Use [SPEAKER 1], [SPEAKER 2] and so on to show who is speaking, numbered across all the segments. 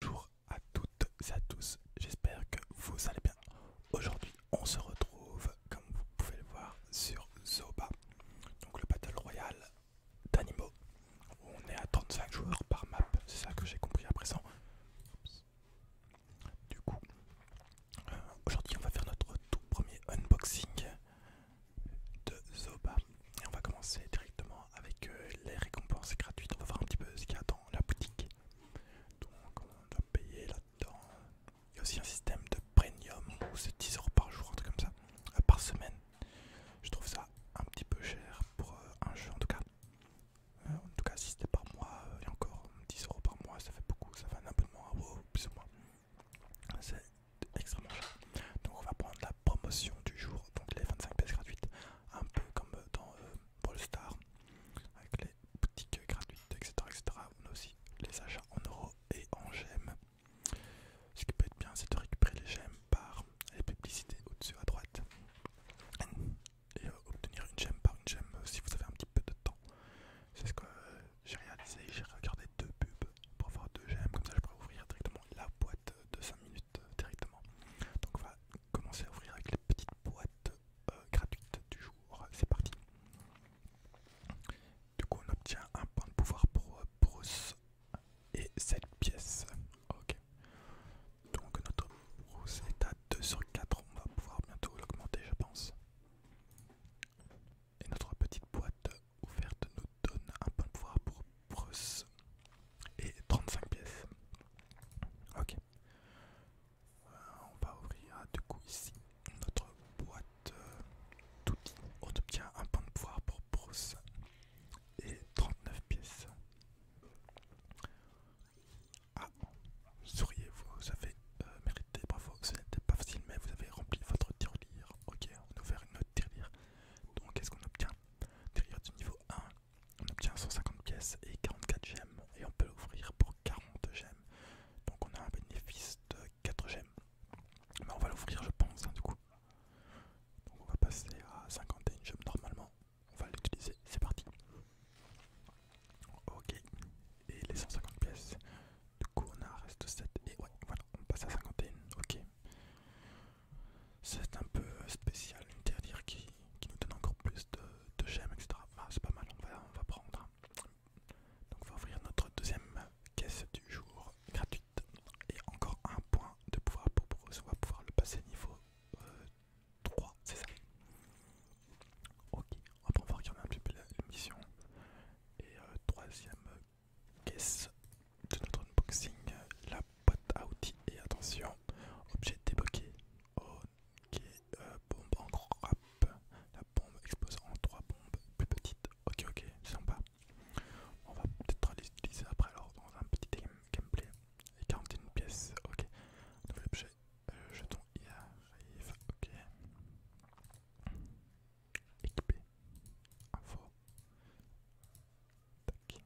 [SPEAKER 1] Bonjour à toutes et à tous, j'espère que vous allez bien. Aujourd'hui on se retrouve comme vous pouvez le voir sur Zoba, donc le Battle Royale d'animaux. On est à 35 joueurs par map, c'est ça que j'ai compris à présent. Du coup, euh, aujourd'hui on va faire notre tout premier unboxing de Zoba et on va commencer directement avec euh, les récompenses gratuites, on va voir un petit peu ce qu'il y a dans la boutique. Donc on va payer là-dedans. Il y a aussi un système de premium où c'est 10 euros par jour, un truc comme ça, euh, par semaine. Je trouve ça un petit peu cher pour euh, un jeu en tout cas. en tout cas, si c'était par mois, et encore 10 euros par mois, ça fait beaucoup, ça fait un abonnement à plus ou moins. C'est extrêmement cher. Donc on va prendre la promotion du jour, donc les 25 pièces gratuites, un peu comme euh, dans ball euh, Star, avec les boutiques gratuites, etc., etc. On a aussi les achats en euros et en gemmes. Ce qui peut être bien, c'est de récupérer les gemmes par les publicités au-dessus à droite et euh, obtenir une gemme par une gemme si vous avez un petit peu de temps. C'est ce que j'ai réalisé, j'ai regardé deux pubs pour avoir deux gemmes, comme ça je pourrais ouvrir directement la boîte de minutes directement. Donc on va commencer à ouvrir avec les petites boîtes euh, gratuites du jour. C'est parti. Du coup on obtient un point de pouvoir pour euh, Bruce et cette pièce. Ok. Donc notre Bruce est à 2 sur 4. On va pouvoir bientôt l'augmenter je pense. Et notre petite boîte ouverte nous donne un point de pouvoir pour Bruce et 35 pièces. Ok. Euh, on va ouvrir ah, du coup ici notre boîte euh, Tout d'outils. On obtient un point de pouvoir pour Bruce et 39 pièces. Ah, souriez-vous, avez euh, mérité, bravo, ce n'était pas facile, mais vous avez rempli votre tirelire. Ok, on a ouvert une autre tirelire. Donc, qu'est-ce qu'on obtient Derrière du niveau 1, on obtient 150 pièces et 44 gemmes et on peut l'ouvrir pour 40 gemmes. Donc on a un bénéfice de 4 gemmes. Mais on va l'ouvrir je pense hein, du coup. on va passer à 51 gemmes normalement. On va l'utiliser, c'est parti. Ok. Et les 150 pièces. Du coup on a reste 7 et ouais voilà on passe à 51. Ok c'est un peu spécial, une dernière qui, nous donne encore plus de, gemmes, etc. Bah, c'est pas mal, on va, prendre. Donc on va ouvrir notre deuxième caisse du jour gratuite. Et encore un point de pouvoir pour on va pouvoir le passer niveau 3, euh, c'est ça Ok, on va regarder un petit peu la mission. Et euh, troisième caisse de notre unboxing, la boîte à outils et attention, objet débloqué. Ok, euh, bombe en grappe, la bombe explose en trois bombes plus petites. Ok, ok, sympa. On va peut-être les utiliser après alors dans un petit gameplay. Et 41 pièces, ok. Nouvel objet, euh, jeton, il arrive, ok équipé. Info. Ok.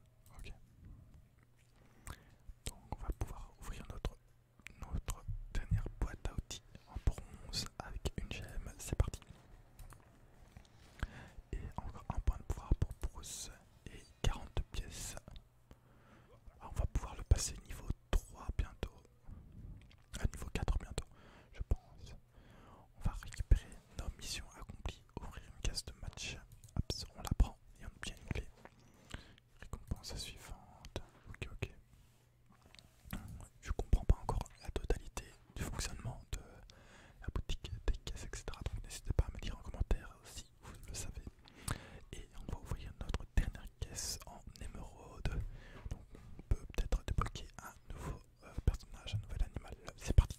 [SPEAKER 1] Donc on va pouvoir ouvrir notre, notre dernière boîte à outils en bronze avec une gemme. C'est parti. Et encore un point de pouvoir pour Bruce et 40 pièces. Ah, on va pouvoir le passer niveau 3 bientôt. À euh, niveau 4 bientôt, je pense. On va récupérer nos missions accomplies, ouvrir une caisse de match, on la prend et on obtient une clé. Récompense suivante, ok ok. Je comprends pas encore la totalité du fonctionnement de la boutique des caisses, etc. Donc n'hésitez pas à me dire en commentaire si vous le savez. Et on va ouvrir notre dernière caisse en émeraude. Donc on peut peut-être débloquer un nouveau euh, personnage, un nouvel animal. C'est parti.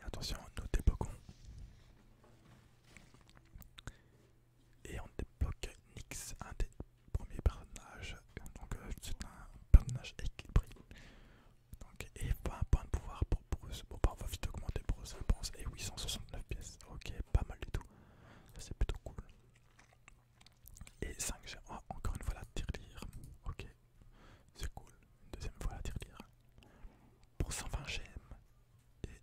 [SPEAKER 1] Et attention, nous débloquons. Et on débloque Nix, un des premiers personnages. Donc euh, c'est un personnage équilibré. et pas un point de pouvoir pour Bruce. Bon, bah, on va vite augmenter Bruce, je pense. Et 869 pièces. Ok, pas mal du tout. C'est plutôt cool. Et 5 j'ai encore une fois la tirelire. Ok, c'est cool. Une deuxième fois la tirelire. Pour 120 gm et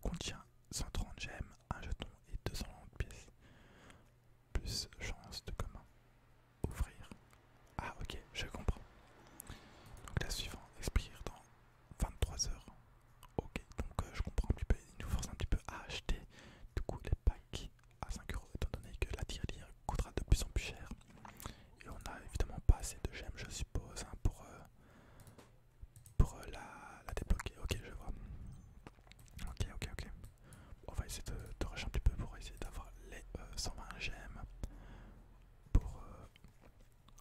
[SPEAKER 1] contient 130 gm un jeton et 220 pièces. Plus chance de commun. Ouvrir. Ah ok, je comprends. Donc la suivante expire dans 23 heures. Ok, donc euh, je comprends un petit peu. Il nous force un petit peu à acheter du coup les packs à 5 euros étant donné que la tirelire coûtera de plus en plus cher. Et on n'a évidemment pas assez de gemmes je suppose hein, pour, euh, pour euh, la, débloquer. Ok je vois. Ok ok ok. On va essayer de, rush un petit peu pour essayer d'avoir les 120 euh, gemmes pour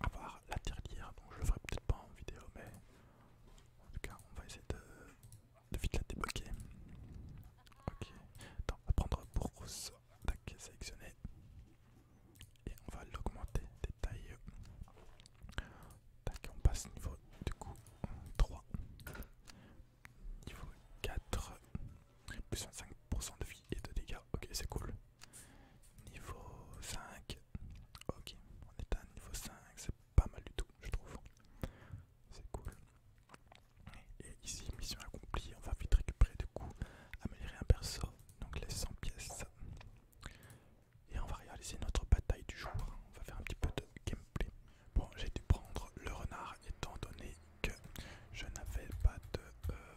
[SPEAKER 1] avoir la tirelire. Donc je le ferai peut-être pas en vidéo mais en tout cas on va essayer de de vite la débloquer. Ok, on va prendre pour rose, sélectionner. Et on va l'augmenter. Détail. Tac, on passe niveau du coup 3. Niveau 4. Plus 25% de vie et de dégâts. Ok, c'est cool. Niveau 5. Ok, on est à niveau 5, c'est pas mal du tout, je trouve. C'est cool. Et ici, mission accomplie, on va vite récupérer du coup, améliorer un perso, donc les 100 pièces. Et on va réaliser notre bataille du jour. On va faire un petit peu de gameplay. Bon, j'ai dû prendre le renard étant donné que je n'avais pas de, euh,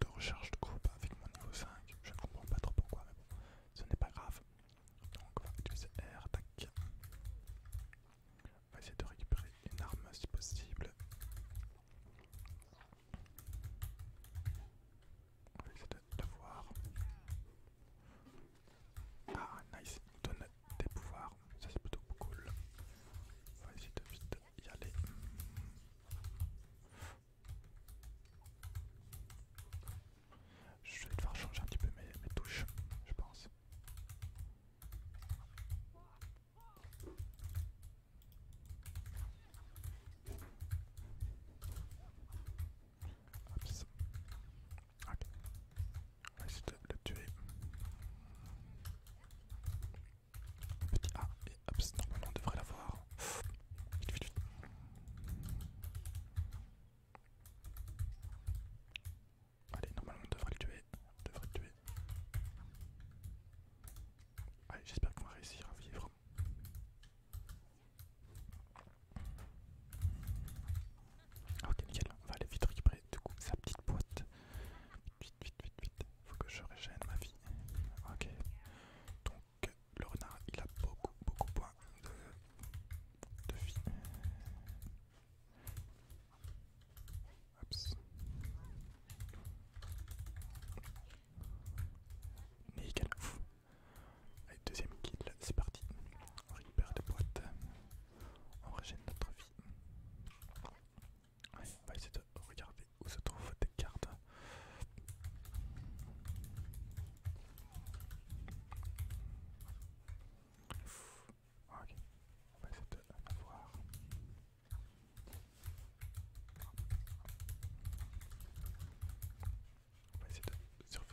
[SPEAKER 1] de recharge de groupe avec mon niveau 5. Je ne comprends pas trop pourquoi, mais bon, ce n'est pas grave. Donc on va utiliser R, tac. On va essayer de récupérer une arme si possible. On va essayer de te voir. Ah nice, donne des pouvoirs, ça c'est plutôt cool. On va essayer de vite y aller. Je vais devoir changer un petit peu mes, touches, je pense. Hop, Ok. On va essayer de le tuer. Petit A et hop, normalement on devrait l'avoir. Allez, normalement on devrait le tuer. devrait le tuer. Allez, j'espère qu'on va réussir à vivre. Ok, nickel, on va aller vite récupérer de coup sa petite boîte. Vite, vite, vite, vite. Faut que je régène ma vie. Ok. Donc que le renard il a beaucoup beaucoup moins de, de vie. Oops. Allez, deuxième kill, c'est parti. On récupère des boîtes. On régène notre vie. Allez, on va essayer de regarder où se trouvent des cartes. Ok, on va essayer de la voir. On va essayer de survivre.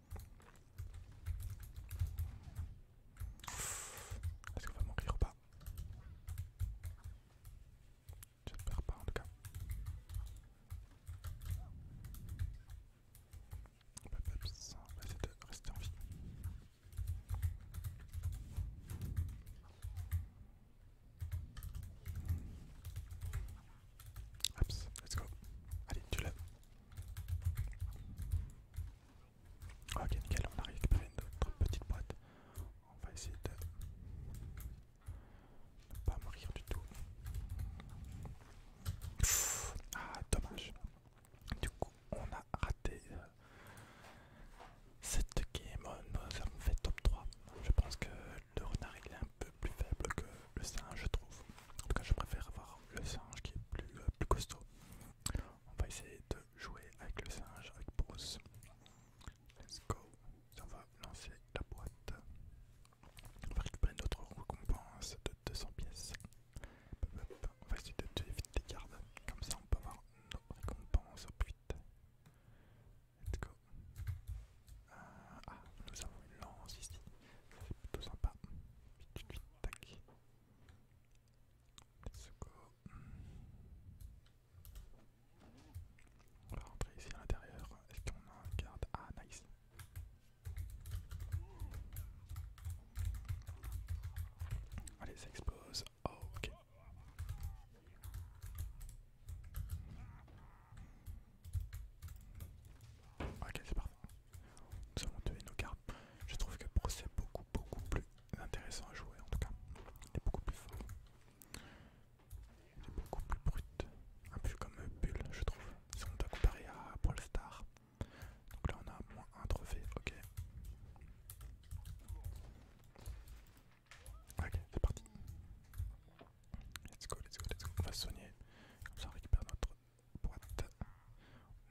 [SPEAKER 1] Est-ce qu'on va mourir ou pas perds pas en tout cas. On va essayer de rester en vie. Hop, let's go. Allez, tu l'as. Ok, nickel, on a récupéré notre petite boîte. On va essayer de ne pas mourir du tout. ah, dommage. Du coup, on a raté euh, cette game. Nous avons fait top 3. Je pense que le renard est un peu plus faible que le singe, je trouve. En tout cas, je préfère avoir le singe qui est plus, euh, plus costaud. On va essayer de jouer avec le singe, avec Bruce. Let's go. On va lancer la boîte. On va récupérer notre récompense de 200 pièces. On va essayer de tuer vite des gardes. Comme ça, on peut avoir nos récompenses au plus Let's go. Euh, ah, nous avons une lance ici. C'est plutôt sympa. Tac. Let's go. On va rentrer ici à l'intérieur. Est-ce qu'on a un garde Ah, nice. Allez, ça explose. ok. Ok, c'est parfait. Nous avons et nos cartes. Je trouve que procès est beaucoup, beaucoup plus intéressant à jouer en tout cas. Il est beaucoup plus fort. Il est beaucoup plus brut. Un peu comme Bull, je trouve. Si on doit comparer à Brawl Donc là, on a moins un trophée. Ok. Ok, c'est parti. Let's go, let's go, let's go. On va soigner. Comme ça, on récupère notre boîte.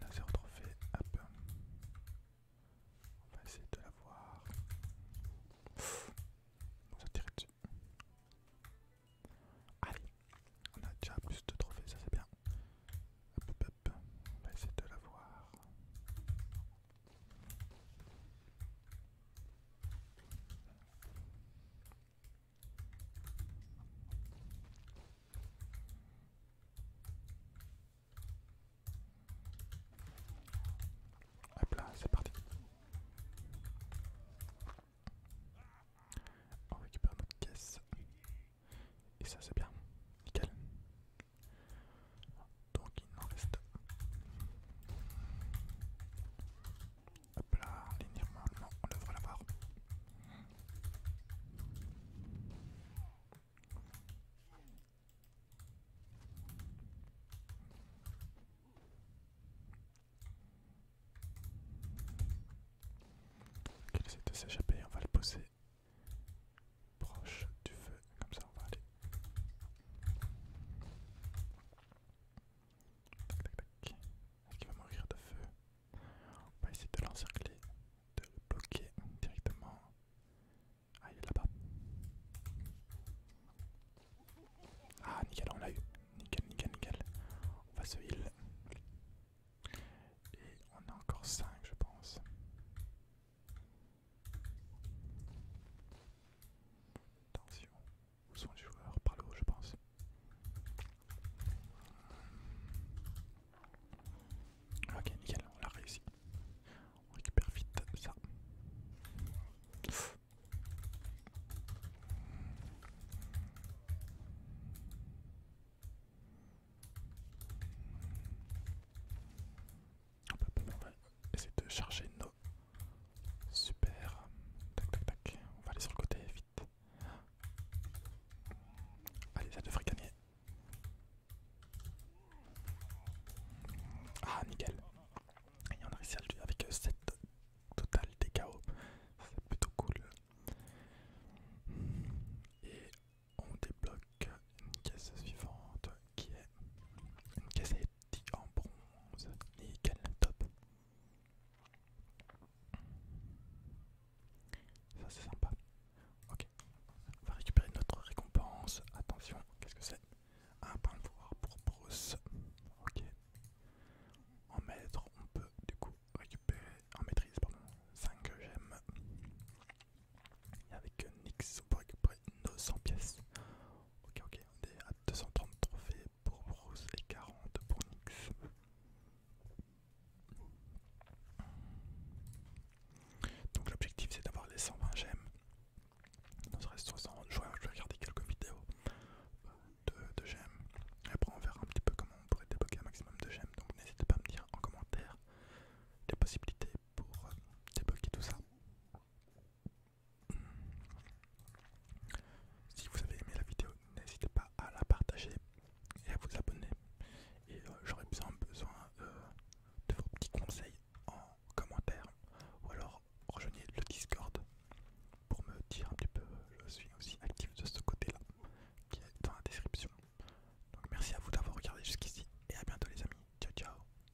[SPEAKER 1] On a zéro trophée. Hop. On va essayer de l'avoir. On va tirer dessus. Allez, on a déjà plus de trophées, ça c'est bien. Hop, hop, hop. On va essayer de l'avoir. Hop là, c'est parti. On récupère notre caisse. Et ça c'est bien. Nickel. Donc il en reste. Hop là, ligne on devrait l'avoir. Ok, il de s'échapper, on va le poser proche du feu, comme ça on va aller. Tac, tac, tac. Est-ce qu'il va mourir de feu On va essayer de l'encercler, de le bloquer directement. Ah, il est là-bas. Ah, nickel, on l'a eu. Nickel, nickel, nickel. On va se heal. Et on a encore 5, je pense. Attention. Où sont les joueurs Par le haut, je pense. Ok, nickel, on l'a réussi. On récupère vite ça. Hop, hop, on va essayer de charger nos Super. Tac tac tac. On va aller sur le côté vite. Allez, ça devrait gagner. Ah, nickel. Et on a réussi avec 7 euh, total des KO. C'est plutôt cool. Et on débloque une caisse suivante qui est une caisse en bronze, nickel, top. Ça c'est sympa. Ok, on va récupérer notre récompense. Attention, qu'est-ce que c'est Un point de voir pour Bruce. Ok. En maître, on peut du coup récupérer, en maîtrise, pardon, 5 gemmes. Et avec Nix, on peut récupérer 900 pièces. Ok, ok, on est à 230 trophées pour Bruce et 40 pour Nix. Donc l'objectif c'est d'avoir les 120 gemmes. Il nous reste 60. Je vais, je vais regarder quelques vidéos euh, de, de gemmes. Et après on verra un petit peu comment on pourrait débloquer un maximum de gemmes. Donc n'hésitez pas à me dire en commentaire les possibilités pour euh, débloquer tout ça. Si vous avez aimé la vidéo, n'hésitez pas à la partager et à vous abonner. Et euh, j'aurais besoin, euh, de vos petits conseils en commentaire. Ou alors rejoignez le Discord pour me dire un petit peu. Je suis aussi actif de ce côté-là qui est dans la description. Donc merci à vous d'avoir regardé jusqu'ici et à bientôt les amis. Ciao ciao